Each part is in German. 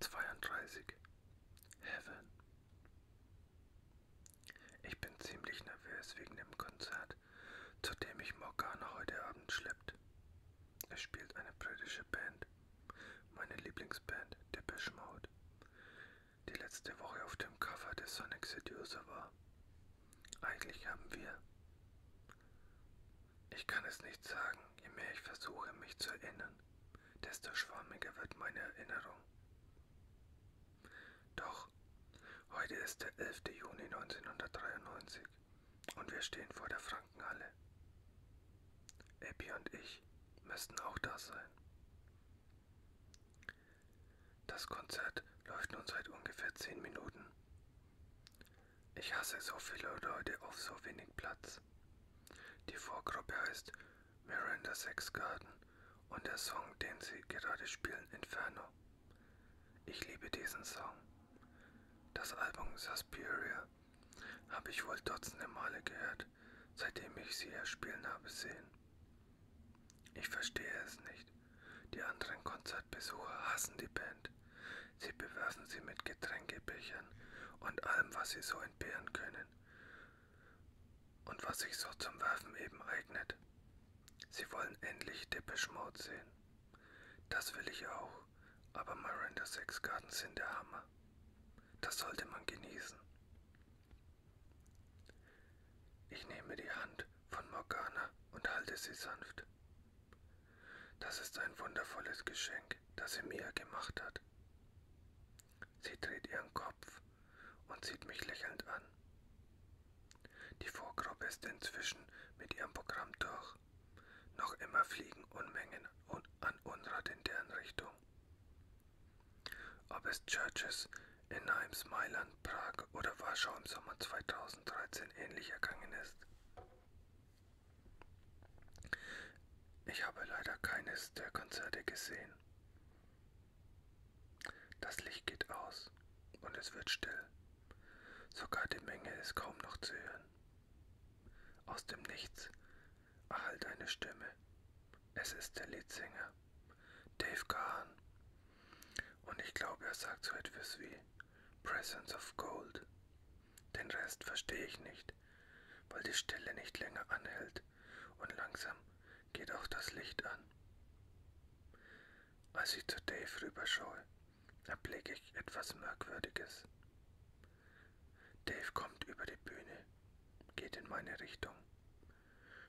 32 Heaven Ich bin ziemlich nervös wegen dem Konzert, zu dem mich Morgana heute Abend schleppt. Es spielt eine britische Band, meine Lieblingsband Depeche Mode, die letzte Woche auf dem Cover des Sonic Seducer war. Eigentlich haben wir ich kann es nicht sagen, je mehr ich versuche, mich zu erinnern, desto schwammiger wird meine Erinnerung. Doch, heute ist der 11. Juni 1993 und wir stehen vor der Frankenhalle. Epi und ich müssten auch da sein. Das Konzert läuft nun seit ungefähr 10 Minuten. Ich hasse so viele Leute auf so wenig Platz. Die Vorgruppe heißt Miranda Sex Garden und der Song, den sie gerade spielen, Inferno. Ich liebe diesen Song. Das Album Suspiria habe ich wohl dutzende Male gehört, seitdem ich sie hier spielen habe sehen. Ich verstehe es nicht. Die anderen Konzertbesucher hassen die Band. Sie bewerfen sie mit Getränkebechern und allem, was sie so entbehren können und was sich so zum Werfen eben eignet. Sie wollen endlich Depeche Mode sehen. Das will ich auch, aber Miranda Sex Garden sind der Hammer. Das sollte man genießen. Ich nehme die Hand von Morgana und halte sie sanft. Das ist ein wundervolles Geschenk, das sie mir gemacht hat. Sie dreht ihren Kopf und sieht mich lächelnd an. Die Vorgruppe ist inzwischen mit ihrem Programm durch. Noch immer fliegen Unmengen an Unrat in deren Richtung. Ob es Churches in Heims, Mailand, Prag oder Warschau im Sommer 2013 ähnlich ergangen ist. Ich habe leider keines der Konzerte gesehen. Das Licht geht aus und es wird still. Sogar die Menge ist kaum noch zu hören. Aus dem Nichts erhallt eine Stimme. Es ist der Leadsänger, Dave Gahan. Und ich glaube, er sagt so etwas wie, Presence of Gold. Den Rest verstehe ich nicht, weil die Stille nicht länger anhält und langsam geht auch das Licht an. Als ich zu Dave rüberschaue, erblicke ich etwas Merkwürdiges. Dave kommt über die Bühne, geht in meine Richtung,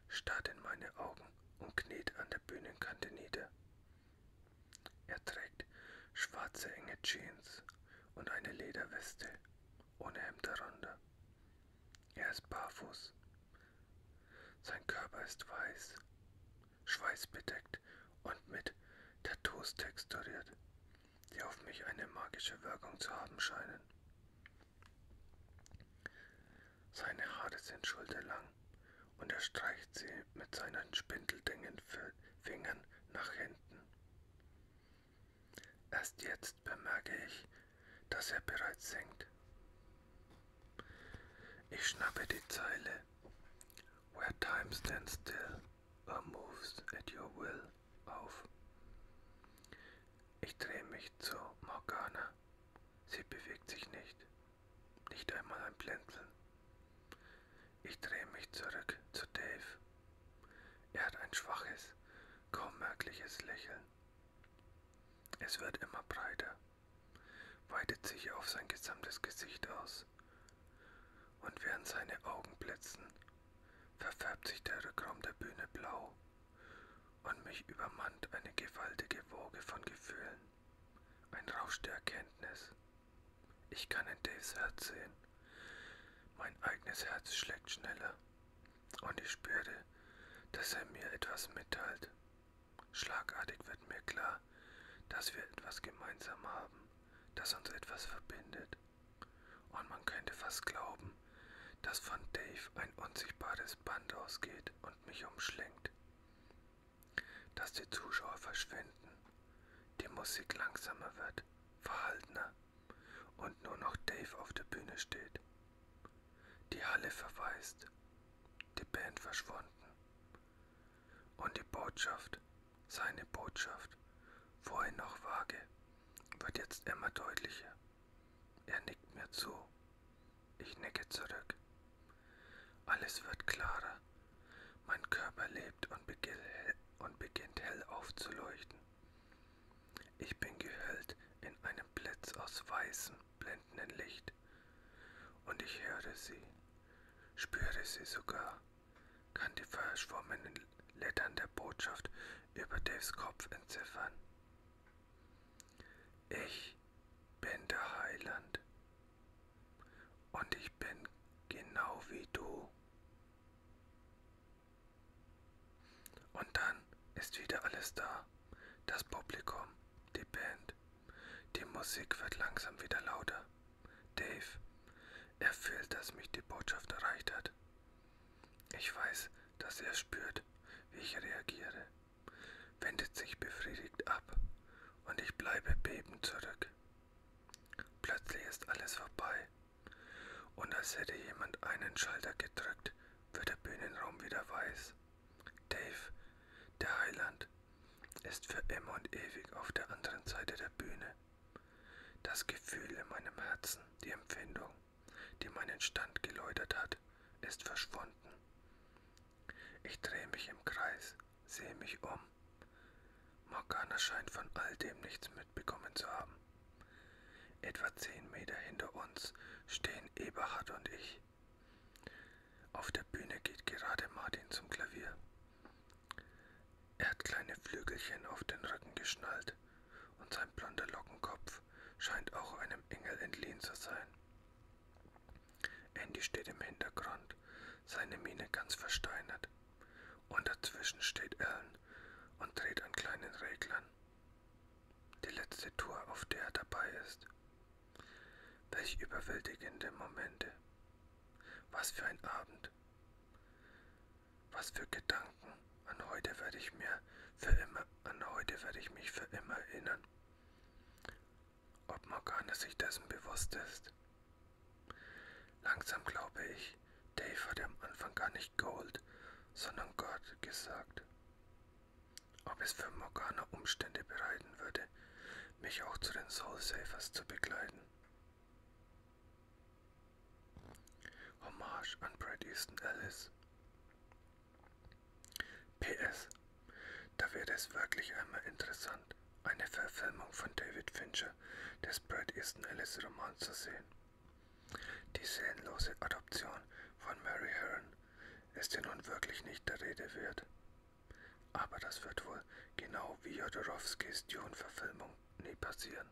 starrt in meine Augen und kniet an der Bühnenkante nieder, er trägt schwarze enge Jeans und eine Lederweste ohne Hemd darunter. Er ist barfuß. Sein Körper ist weiß, schweißbedeckt und mit Tattoos texturiert, die auf mich eine magische Wirkung zu haben scheinen. Seine Haare sind schulterlang unterstreicht sie mit seinen spindeldingen Fingern nach hinten. Erst jetzt bemerke ich, dass er bereits singt. Ich schnappe die Zeile. Where time stands still or moves at your will auf. Ich drehe mich zu Morgana. Sie bewegt sich nicht. Nicht einmal ein Blinzeln. Ich drehe mich zurück zu Dave. Er hat ein schwaches, kaum merkliches Lächeln. Es wird immer breiter, weitet sich auf sein gesamtes Gesicht aus. Und während seine Augen blitzen, verfärbt sich der Rückraum der Bühne blau und mich übermannt eine gewaltige Woge von Gefühlen. Ein Rausch der Erkenntnis. Ich kann in Daves Herz sehen. Mein eigenes Herz schlägt schneller. Und ich spüre, dass er mir etwas mitteilt. Schlagartig wird mir klar, dass wir etwas gemeinsam haben, das uns etwas verbindet. Und man könnte fast glauben, dass von Dave ein unsichtbares Band ausgeht und mich umschlingt dass die Zuschauer verschwinden, die Musik langsamer wird, verhaltener und nur noch Dave auf der Bühne steht. Die Halle verweist, die Band verschwunden und die Botschaft, seine Botschaft, vorhin noch vage, wird jetzt immer deutlicher. Er nickt mir zu ich nicke zurück. Alles wird klarer. Mein Körper lebt und, beginn, und beginnt hell aufzuleuchten. Ich bin gehüllt in einem Blitz aus weißem, blendenden Licht. Und ich höre sie, spüre sie sogar, kann die verschwommenen Lettern der Botschaft über Daves Kopf entziffern. Ich bin der Heiland und ich bin genau wie du. Und dann ist wieder alles da. Das Publikum, die Band. Die Musik wird langsam wieder lauter. Dave, er fühlt, dass mich die Botschaft erreicht hat. Ich weiß, dass er spürt, wie ich reagiere wendet sich befriedigt ab und ich bleibe bebend zurück. Plötzlich ist alles vorbei und als hätte jemand einen Schalter gedrückt, wird der Bühnenraum wieder weiß. Dave, der Heiland, ist für immer und ewig auf der anderen Seite der Bühne. Das Gefühl in meinem Herzen, die Empfindung, die meinen Stand geläutert hat, ist verschwunden. Ich drehe mich im Kreis, sehe mich um. Morgana scheint von all dem nichts mitbekommen zu haben. Etwa zehn Meter hinter uns stehen Eberhard und ich. Auf der Bühne geht gerade Martin zum Klavier. Er hat kleine Flügelchen auf den Rücken geschnallt und sein blonder Lockenkopf scheint auch einem Engel entliehen zu sein. Andy steht im Hintergrund, seine Miene ganz versteinert. Und dazwischen steht Ellen und dreht an kleinen Reglern. Die letzte Tour, auf der er dabei ist. Welch überwältigende Momente. Was für ein Abend. Was für Gedanken. An heute werde ich mir für immer, an heute werde ich mich für immer erinnern. Ob Morgana sich dessen bewusst ist? Langsam glaube ich, Dave hatte am Anfang gar nicht Gold, sondern Gott gesagt. Ob es für Morgana Umstände bereiten würde, mich auch zu den Soul Savers zu begleiten. Hommage an Brad Easton Ellis. PS. Da wäre es wirklich einmal interessant, eine Verfilmung von David Fincher des Brad Easton Ellis Romans zu sehen. Die seelenlose Adoption von Mary Heron ist ja nun wirklich nicht der Rede wert. Aber das wird wohl genau wie Jodorowskis Dune-Verfilmung nie passieren.